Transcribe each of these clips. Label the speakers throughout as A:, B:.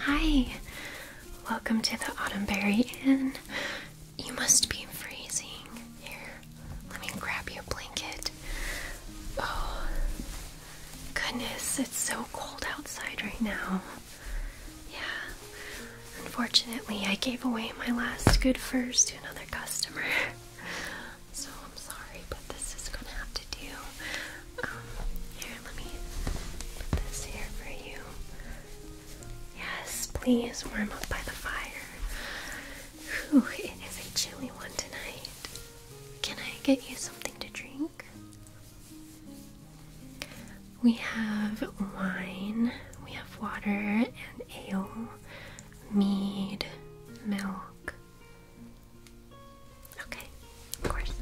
A: Hi, welcome to the Autumnberry Inn. You must be freezing. Here, let me grab your blanket. Oh, goodness, it's so cold outside right now. Yeah, unfortunately, I gave away my last good furs to another customer. So I'm sorry, but this is gonna have to do. Um, here, let me put this here for you. Yes, please warm up by the fire. it is a chilly one tonight. Can I get you something to drink? We have wine, we have water and ale, mead, milk. Okay, of course.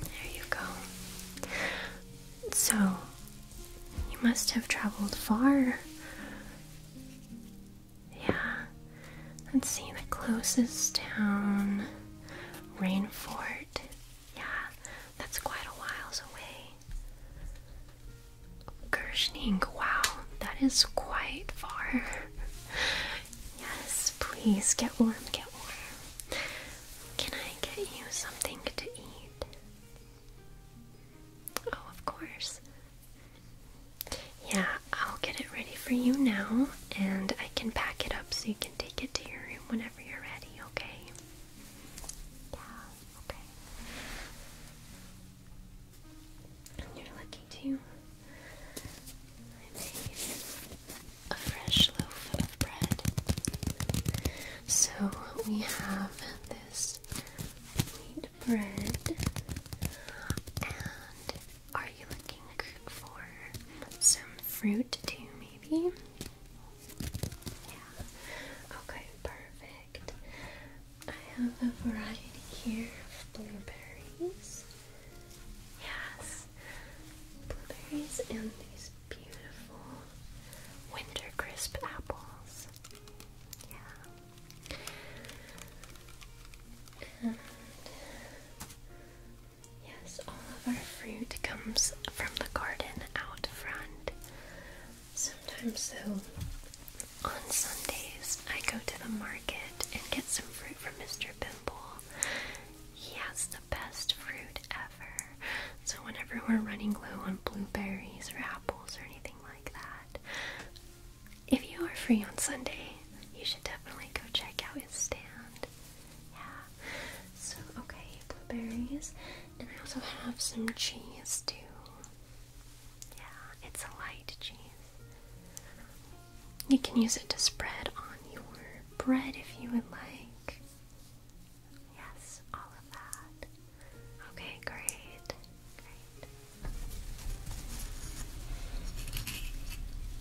A: There you go. So, you must have traveled far. Yeah. Let's see the closest town. Rainfort. Yeah, that's quite a whiles away. Gershning, wow, that is quite far. yes, please get warm, get warm. Can I get you something to eat? Oh, of course. Yeah, I'll get it ready for you now, and I can pack it up so you can take it to your room whenever you're ready, okay? Yeah, okay. you're lucky too. I a fresh loaf of bread. So we have this wheat bread and are you looking for some fruit too, maybe? Yeah. Okay, perfect. I have a variety here of blueberries. Yes. Blueberries and these beautiful winter crisp apples. Yeah. Yes, all of our fruit comes from the garden out front. Sometimes, though, on Sundays, I go to the market and get some fruit from Mr. Bimble. He has the best fruit ever. So, whenever we're running low on blueberries or apples or anything like that, if you are free on Sunday, you should definitely go check out his stand. Yeah. So okay, blueberries. And I also have some cheese too. Yeah, it's a light cheese. You can use it to spread on your bread if you would like. Yes, all of that. Okay, great. Great.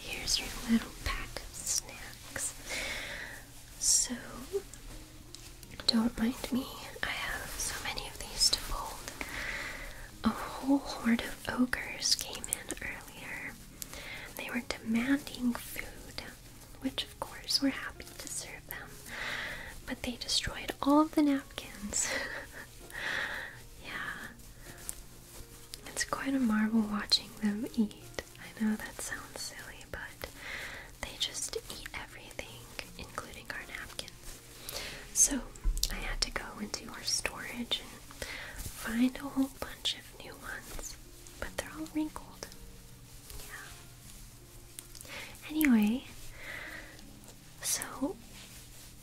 A: Here's your little pack of snacks. So, don't mind me, I have so many of these to fold. A whole horde of ogres came in earlier. They were demanding food, which of course we're happy to serve them, but they destroyed all of the napkins. yeah. It's quite a marvel watching them eat. I know that sounds silly, but they just eat everything, including our napkins. So I had to go into our storage and find a whole bunch of new ones, but they're all wrinkled. Yeah. Anyway, so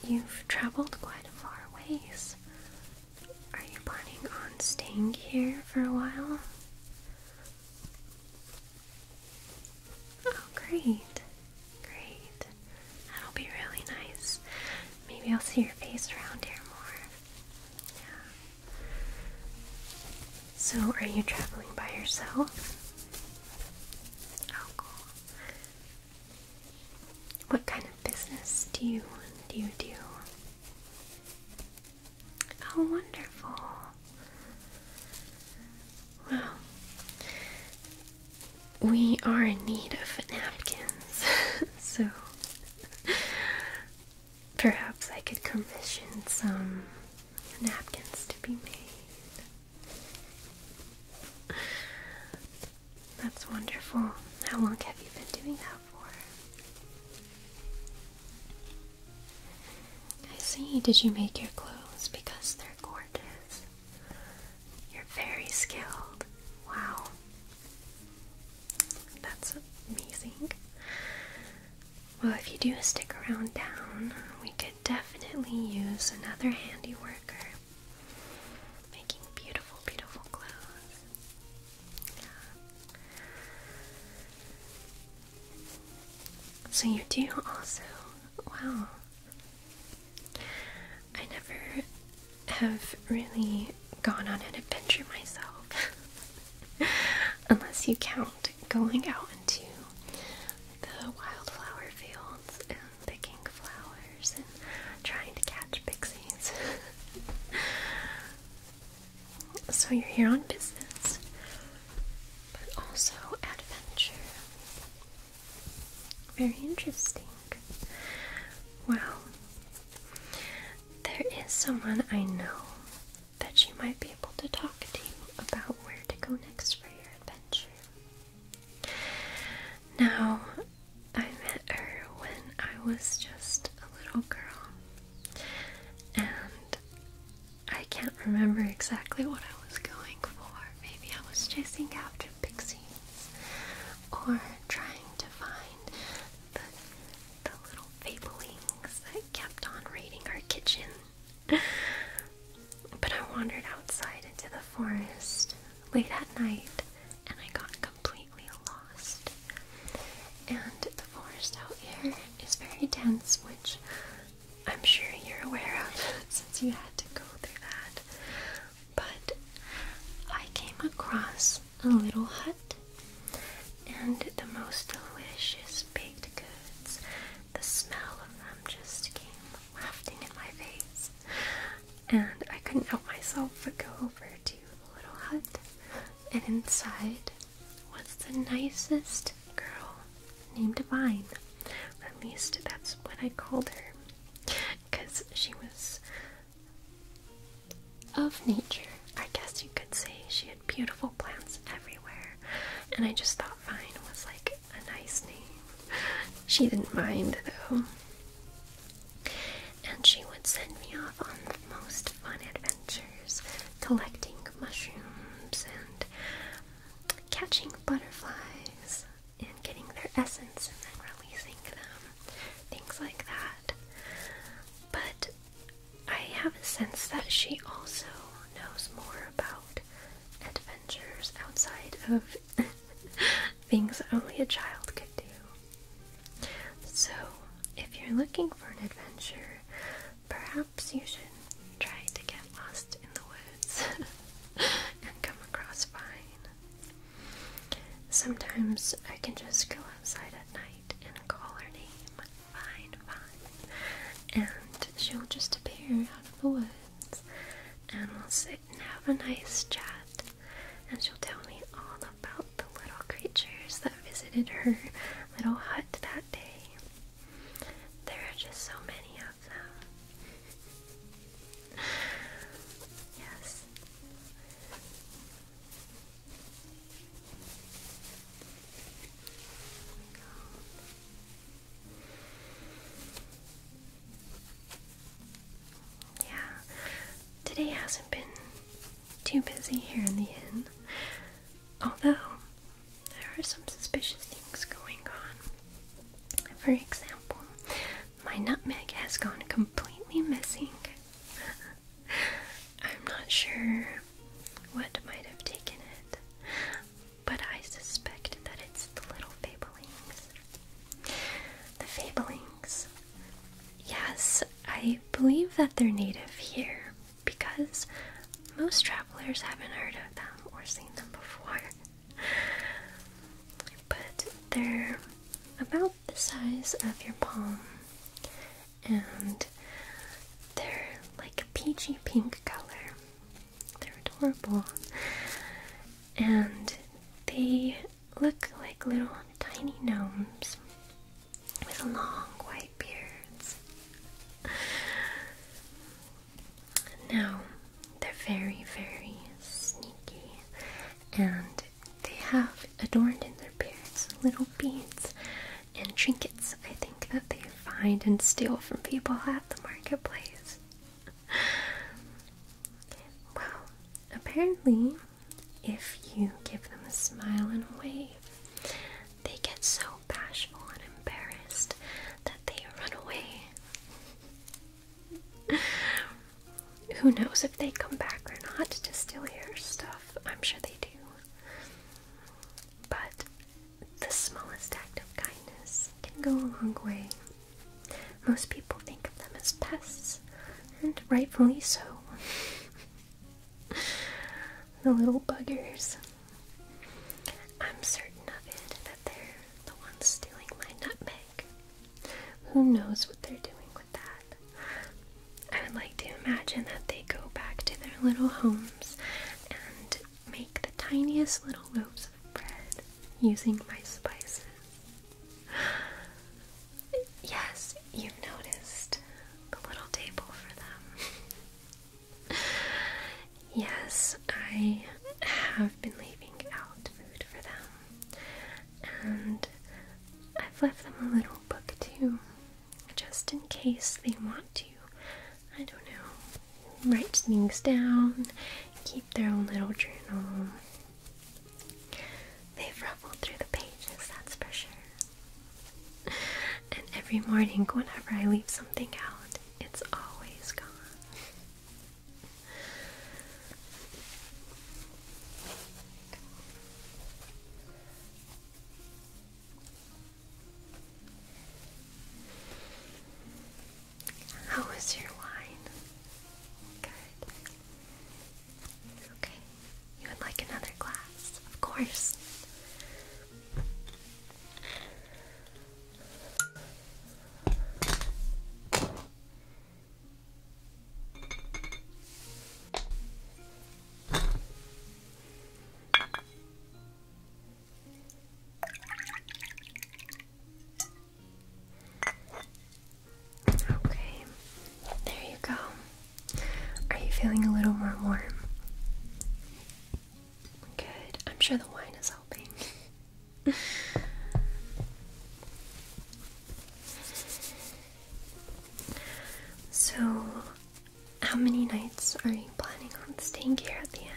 A: you've traveled quite a far ways. Are you planning on staying here for a while? Oh, great. Great. That'll be really nice. Maybe I'll see your face around here more. So, are you traveling by yourself? Oh, what kind of business do you do? You oh, wonderful. Wow. We are in need of napkins, so Perhaps I could commission some napkins to be made. That's wonderful. How long have you been doing that for? I see. Did you make your clothes because they're gorgeous? You're very skilled. Wow. That's amazing. Well, if you do stick around town, we could definitely use another handy worker making beautiful, beautiful clothes. So, you do also. Wow. I never have really gone on an adventure myself. Unless you count going out into the wildflower fields and picking flowers and trying to catch pixies. so you're here on business, but also adventure. Very interesting. Wow, there is someone I know that she might be able to talk to you about where to go next for your adventure. Now, I met her when I was just a little girl, and I can't remember exactly what I was going for. Maybe I was chasing after pixies or trying to find the, little fablings kept on raiding our kitchen. but I wandered outside into the forest late at night and I got completely lost. And the forest out here is very dense, which I'm sure you're aware of since you had to go through that. But I came across a little hut and the most delicious baked goods. The smell of them just came wafting in my face, and I couldn't help myself but go over to the little hut. And inside was the nicest girl named Vine. At least that's what I called her, because she was of nature. I guess you could say she had beautiful plants everywhere, and I just thought Vine was like a nice name. She didn't mind though. And she would send me off on the most fun adventures, collecting mushrooms and catching butterflies and getting their essence and then releasing them, things like that. But I have a sense that she also knows more about adventures outside of things only a child could do. So, if you're looking for an adventure, perhaps you should try to get lost in the woods and come across fine. Sometimes I can just go outside at night and call her name fine, fine. And she'll just appear out of the woods, and we'll sit and have a nice chat. And she'll tell me all about the little creatures that visited her little hut that day. There are just so many of them. yes. Yeah, today hasn't been too busy here in the inn, although there are some suspicious things going on. For example, my nutmeg has gone completely missing. I'm not sure what might have taken it, but I suspect that it's the little fablelings. The fablelings, Yes, I believe that they're native here because most travelers haven't heard of them or seen them before. But they're about the size of your palm and they're like a peachy pink color. They're adorable. And they look like little tiny gnomes with long white beards. Now, they're very, very sneaky and they have adorned in their beards little beads and trinkets I think that they find and steal from people at the marketplace. well, apparently, if you give them a smile and a wave, they get so bashful and embarrassed that they run away. Who knows if they come back or not to steal your stuff? I'm sure they do. But the smallest act of kindness can go a long way. Most people think of them as pests, and rightfully so. the little buggers. I'm certain of it that they're the ones stealing my nutmeg. Who knows what they're doing with that? I would like to imagine that they go back to their little home and make the tiniest little loaves of bread using my spices. Yes, you've noticed the little table for them. yes, I have been leaving out food for them, and I've left them a little book too just in case they want to, I don't know, write things down, keep their own little journal. They've ruffled through the pages, that's for sure. And every morning, whenever I leave something out, it's always gone. How was your wine? Good. Okay. You would like another glass, of course. Okay, there you go. Are you feeling a little more warm? Good. I'm sure the wine is helping. so, how many nights are you planning on staying here at the end?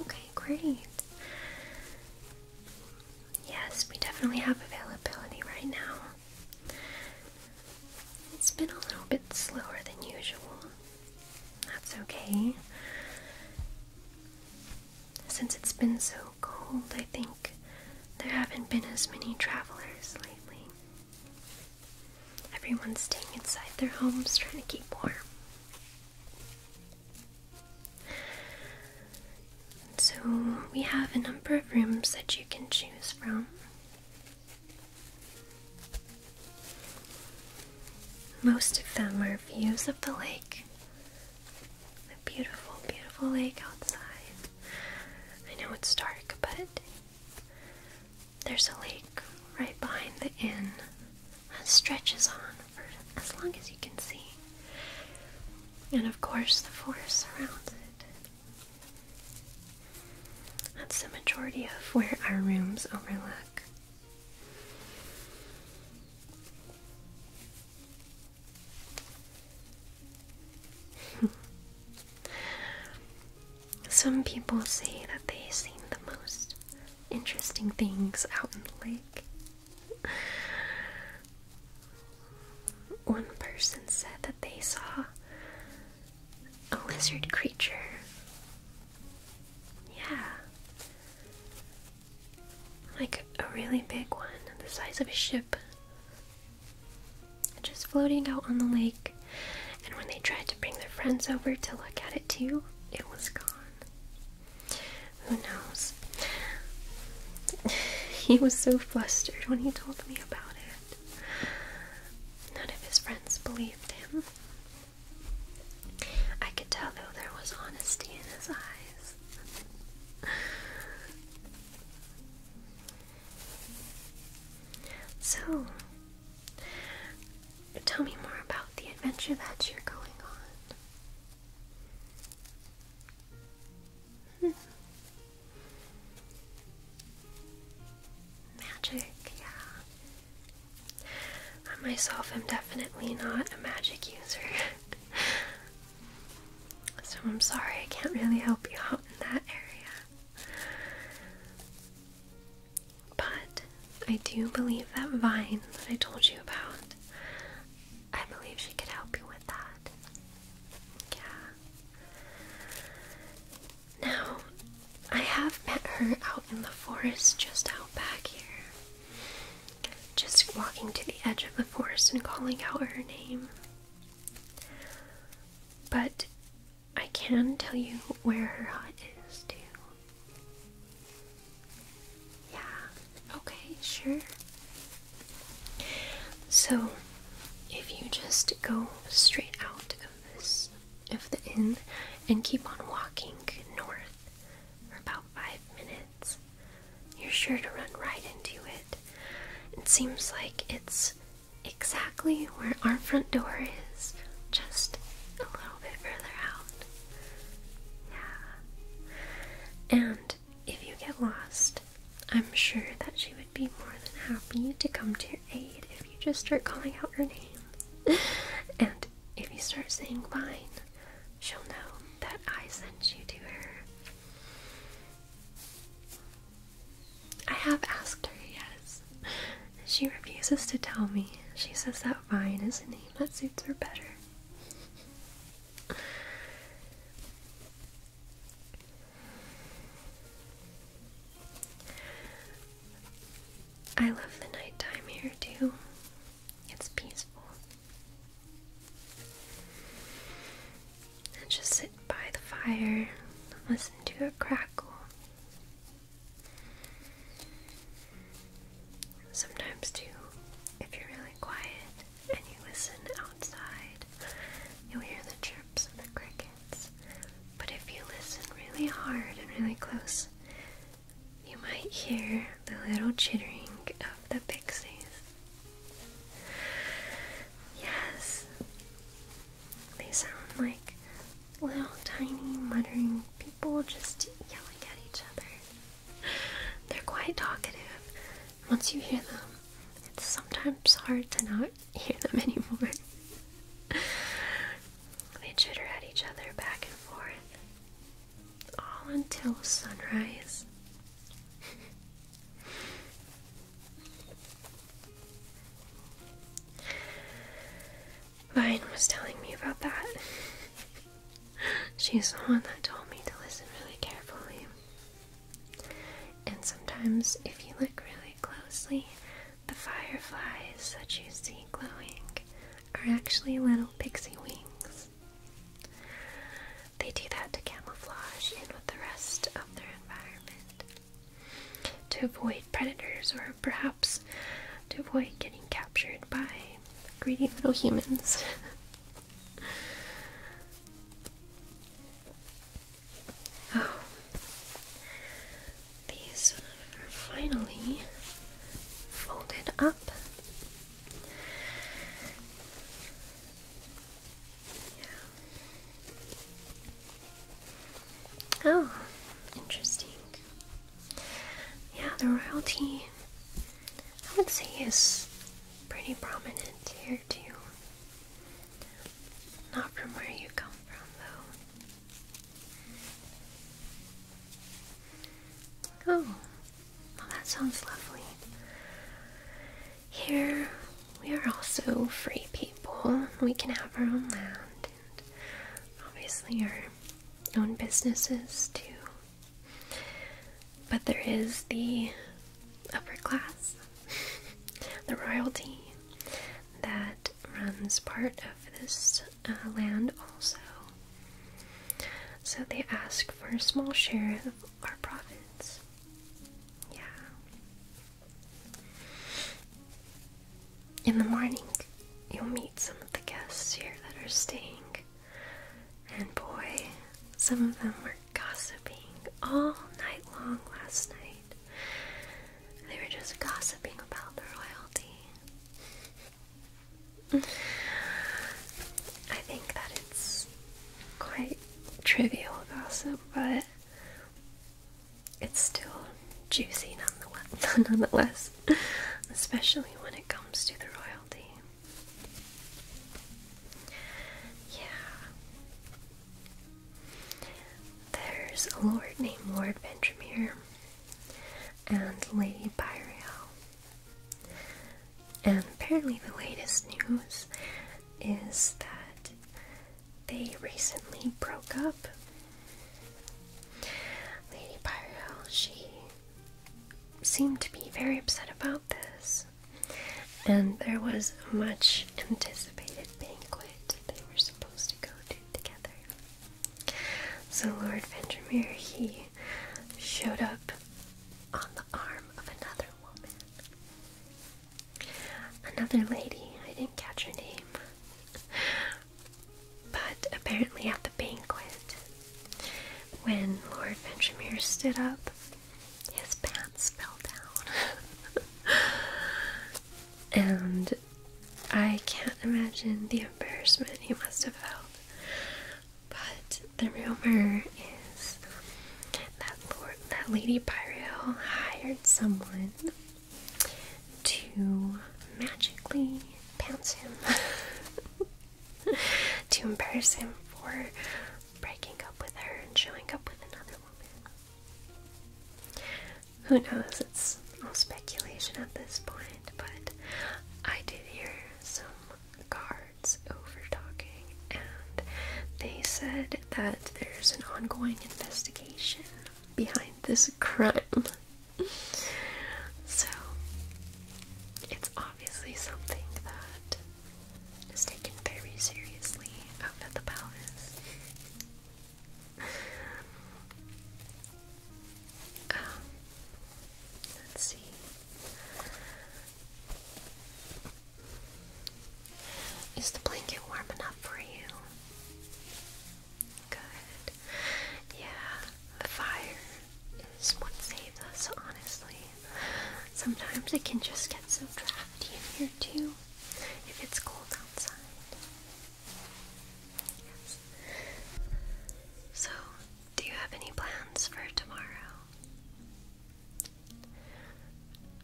A: Okay, great. Yes, we definitely have availability right now. It's been a little bit slower than usual. That's okay. Since it's been so cold, I think there haven't been as many travelers lately. Everyone's staying inside their homes trying to keep warm. So, we have a number of rooms that you can choose from. Most of them are views of the lake, the beautiful, beautiful lake outside. I know it's dark, but there's a lake right behind the inn that stretches on for as long as you can see. And of course, the forest surrounds it. That's the majority of where our rooms overlook. Some people say that they've seen the most interesting things out in the lake. One person said that they saw a lizard creature. Yeah. Like a really big one, the size of a ship just floating out on the lake. And when they tried to bring their friends over to look at it too, it was gone. Who knows? he was so flustered when he told me about it. None of his friends believed him. I could tell, though, there was honesty in his eyes. So, tell me more about the adventure that you're going on. Hmm. Magic, yeah. I myself am definitely not a magic user. so I'm sorry I can't really help you out in that area. But I do believe that vine that I told you about, I believe she could help you with that. Yeah. Now, I have met her out in the forest just out back here. Just walking to the edge of the forest and calling out her name. But I can tell you where her hut is, too. Yeah, okay, sure. So, if you just go straight out of this, of the inn, and keep on walking north for about five minutes, you're sure to run right into it. It seems like it's exactly where our front door is, just a little bit further out. Yeah. And if you get lost, I'm sure that she would be more than happy to come to your aid if you just start calling out her name. and if you start saying mine, she'll know that I sent you to her. I have asked her, yes. She refuses to tell me. She says that Vine is a name that suits her better. I love the nighttime here too. It's peaceful. just sit by the fire, listen to a crackle. Sometimes, too, if you're really quiet and you listen outside, you'll hear the chirps of the crickets. But if you listen really hard and really close, you might hear the little chittering of the pixies. Yes, they sound like little tiny muttering people just yelling at each other. They're quite talkative. Once you hear them, it's sometimes hard to not hear them anymore. they chitter at each other back and forth, all until sunrise. Vine was telling me about that. She's the one that told me to listen really carefully. And sometimes, if you look really closely, the fireflies that you see glowing are actually little pixie wings. They do that to camouflage in with the rest of their environment to avoid predators or perhaps to avoid getting captured by greedy little humans. oh. These are finally folded up. Oh, interesting. Yeah, the royalty, I would say, is pretty prominent here too. Not from where you come from, though. Oh, well, that sounds lovely. Here we are also free people. We can have our own land and obviously our own businesses too. But there is the upper class, the royalty, that runs part of this uh, land also. So they ask for a small share of our province. Yeah. In the morning, you'll meet some of the guests here that are staying. And boy, some of them were gossiping all night long last night. They were just gossiping about the royalty. I think that it's quite trivial gossip, but it's still juicy nonetheless, nonetheless especially when it comes to the royalty. Yeah. There's a lord named Lord Benjamin and Lady Byriel. And apparently the latest news is that they recently broke up. Lady Pyro, she seemed to be very upset about this, and there was a much anticipated banquet they were supposed to go to together. So Lord Vendermere, he showed up on the arm of another woman. Another lady, I didn't catch her name. But apparently, at the banquet, when Lord Ventremere stood up, his pants fell down. and I can't imagine the embarrassment he must have felt. But the rumor is that Lord, that Lady Pyro hired someone to magically pounce him, to embarrass him for breaking up with her and showing up with another woman. Who knows? It's all speculation at this point, but I did hear some guards over talking, and they said that there's an ongoing investigation behind this crime. So, it's obviously something that is taken very seriously out at the palace. Um, let's see. Is the blanket warm enough for you? Good. Yeah, the fire is what saves us, honestly. Sometimes it can just get so drafty in here, too, if it's cold outside. Yes. So, do you have any plans for tomorrow?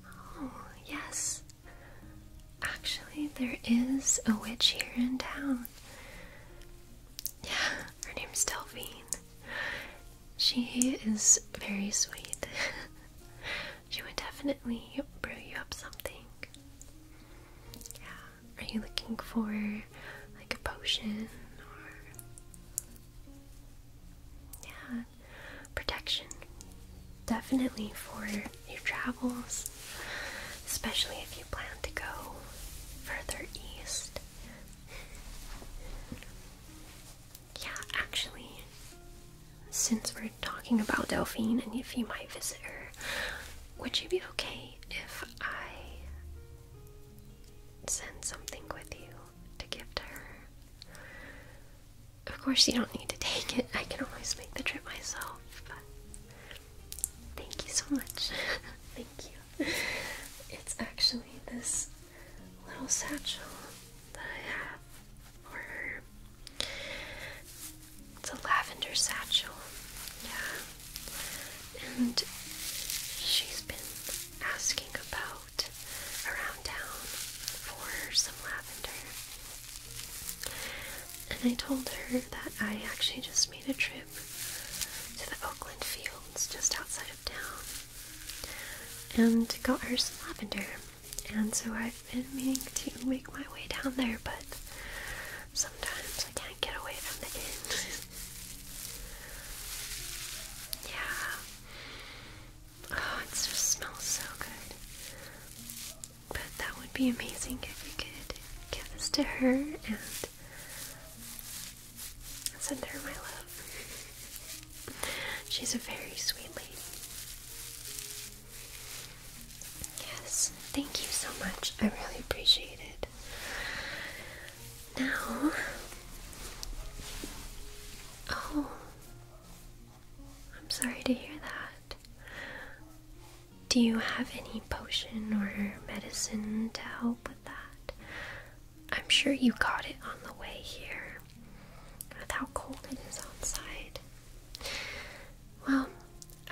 A: Oh, yes. Actually, there is a witch here in town. Yeah, her name's Delphine. She is very sweet. she would definitely brew you up something. Yeah, are you looking for like a potion or. Yeah, protection definitely for your travels, especially if you plan to go further east. Yeah, actually, since we're talking about Delphine and if you might visit her, would you be okay if I send something with you to give to her? Of course, you don't need to take it. I can always make the trip myself. But thank you so much. thank you. It's actually this little satchel that I have for her. It's a lavender satchel. Yeah. And she's been asking about around town for some lavender and I told her that I actually just made a trip to the Oakland fields just outside of town and got her some lavender. And so I've been meaning to make my way down there, but sometimes I can't get away from the inn. yeah. Oh, it smells so good. But that would be amazing if you could give this to her and send her my love. She's a very sweet lady. Yes, thank you so much. I really appreciate it. Now, oh, I'm sorry to hear that. Do you have any potion or medicine to help with that? I'm sure you got it on the way here. With how cold it is outside. Well,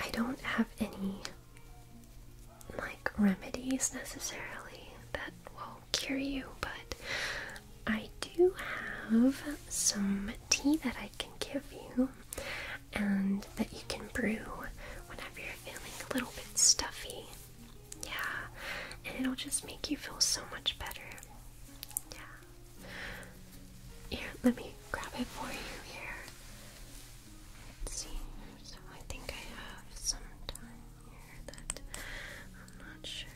A: I don't have any like remedies necessarily that will cure you, but I do have some tea that I can give you and that you can brew whenever you're feeling a little bit stuffy. Yeah, and it'll just make you feel so much better. Yeah. Here, let me grab it for you here. Let's see, so I think I have some time here that I'm not sure.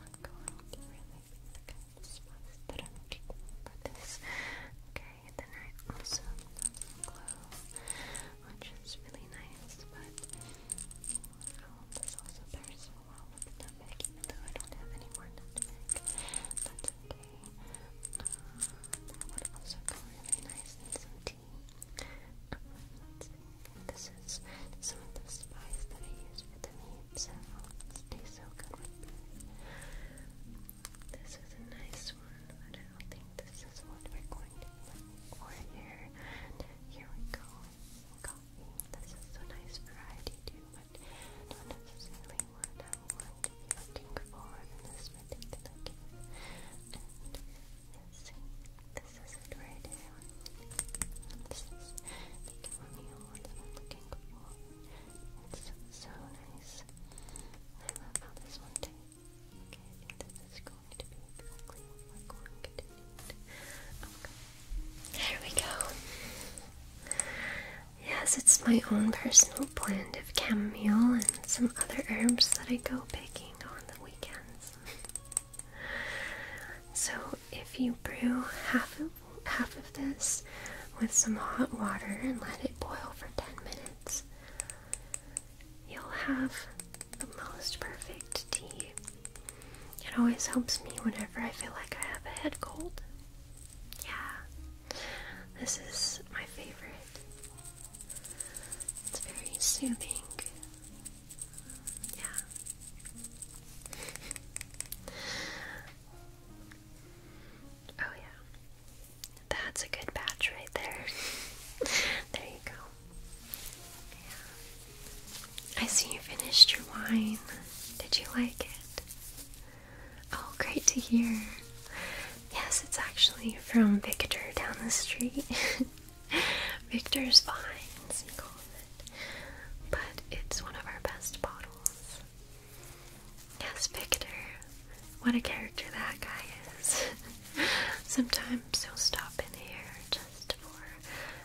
A: i going to really just was that I'm for this. Okay, then I also have glow, which is really nice, but um, also pairs so well with nutmeg, even though I don't have any more nutmeg. That's okay. that would also go really nice in some tea. This is some of the spice that I use for the meat, so it tastes so good with this. This is a nice one, I don't think this is what we're going for here. Here we go. Coffee. This is a nice variety too, but not necessarily what I'm looking for in this particular game. And let's see. This is it right here. This is the chamomile that I'm looking for. It's so nice. I love how this one tastes. Okay, this is going to be exactly what we we go. Yes, it's my own personal blend of chamomile and some other herbs that I go picking on the weekends. so, if you brew half of half of this with some hot water and let it boil for 10 minutes. You'll have the most perfect tea. It always helps me whenever I feel like I have a head cold. Yeah, this is my favorite. It's very soothing. Yeah. Oh, yeah. That's a good batch right there. there you go. Yeah. I see you finished your wine. Did you like it? Oh, great to hear. Yes, it's actually from Victor down the street. Victor's Vines, we call it. But it's one of our best bottles. Yes, Victor. What a character that guy is. Sometimes he'll stop in here just for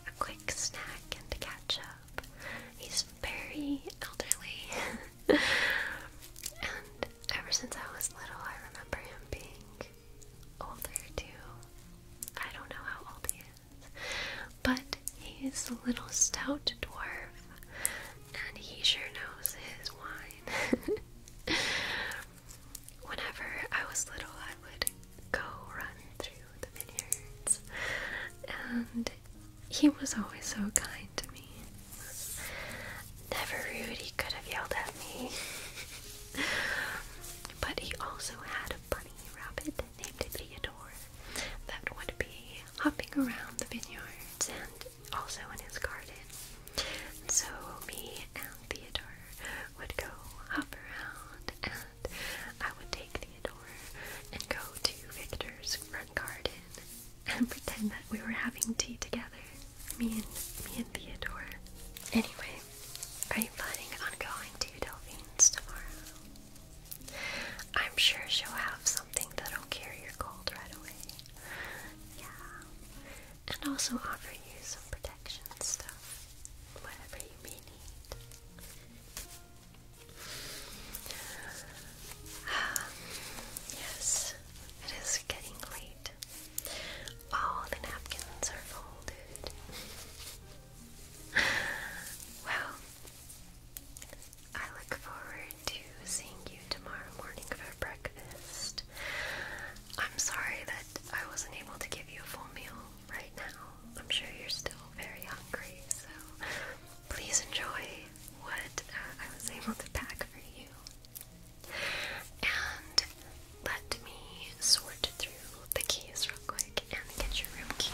A: a quick snack and to catch up. He's very elderly. and ever since I was little, I remember him being older too. I don't know how old he is, but he's a little stout dwarf, and he sure knows his wine. Whenever I was little, I would go run through the vineyards, and he was always so kind to me. Never rude, he could have yelled at me. but he also had a bunny rabbit named Theodore that would be hopping around the vineyards and also in his garden. so me and Theodore would go hop around and I would take Theodore and go to Victor's front garden and pretend that we were having tea together. Me and me and Theodore. Anyway, are you planning on going to Delphine's tomorrow? I'm sure she'll have something that'll cure your cold right away. Yeah. And also offer you some protection stuff. Whatever you may need. Um, yes, it is getting late. All the napkins are folded. well, I look forward to seeing you tomorrow morning for breakfast. I'm sorry that I wasn't able to give you a full meal right now. I'm sure you're still very hungry, so please enjoy what uh, I was able to pack for you. And let me sort through the keys real quick and get your room key.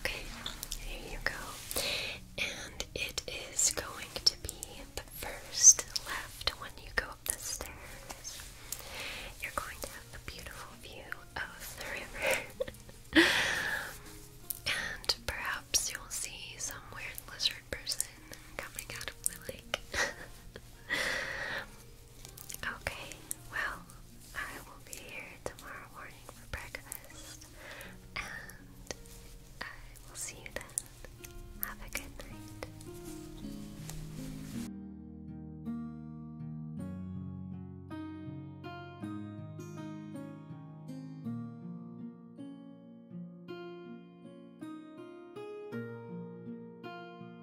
A: Okay, here you go. And it is going to be the first left when you go up the stairs. You're going to have a beautiful view of the river. and perhaps you'll see some weird lizard person coming out of the lake. Okay, well, I will be here tomorrow morning for breakfast, and I will see you then. Have a good night.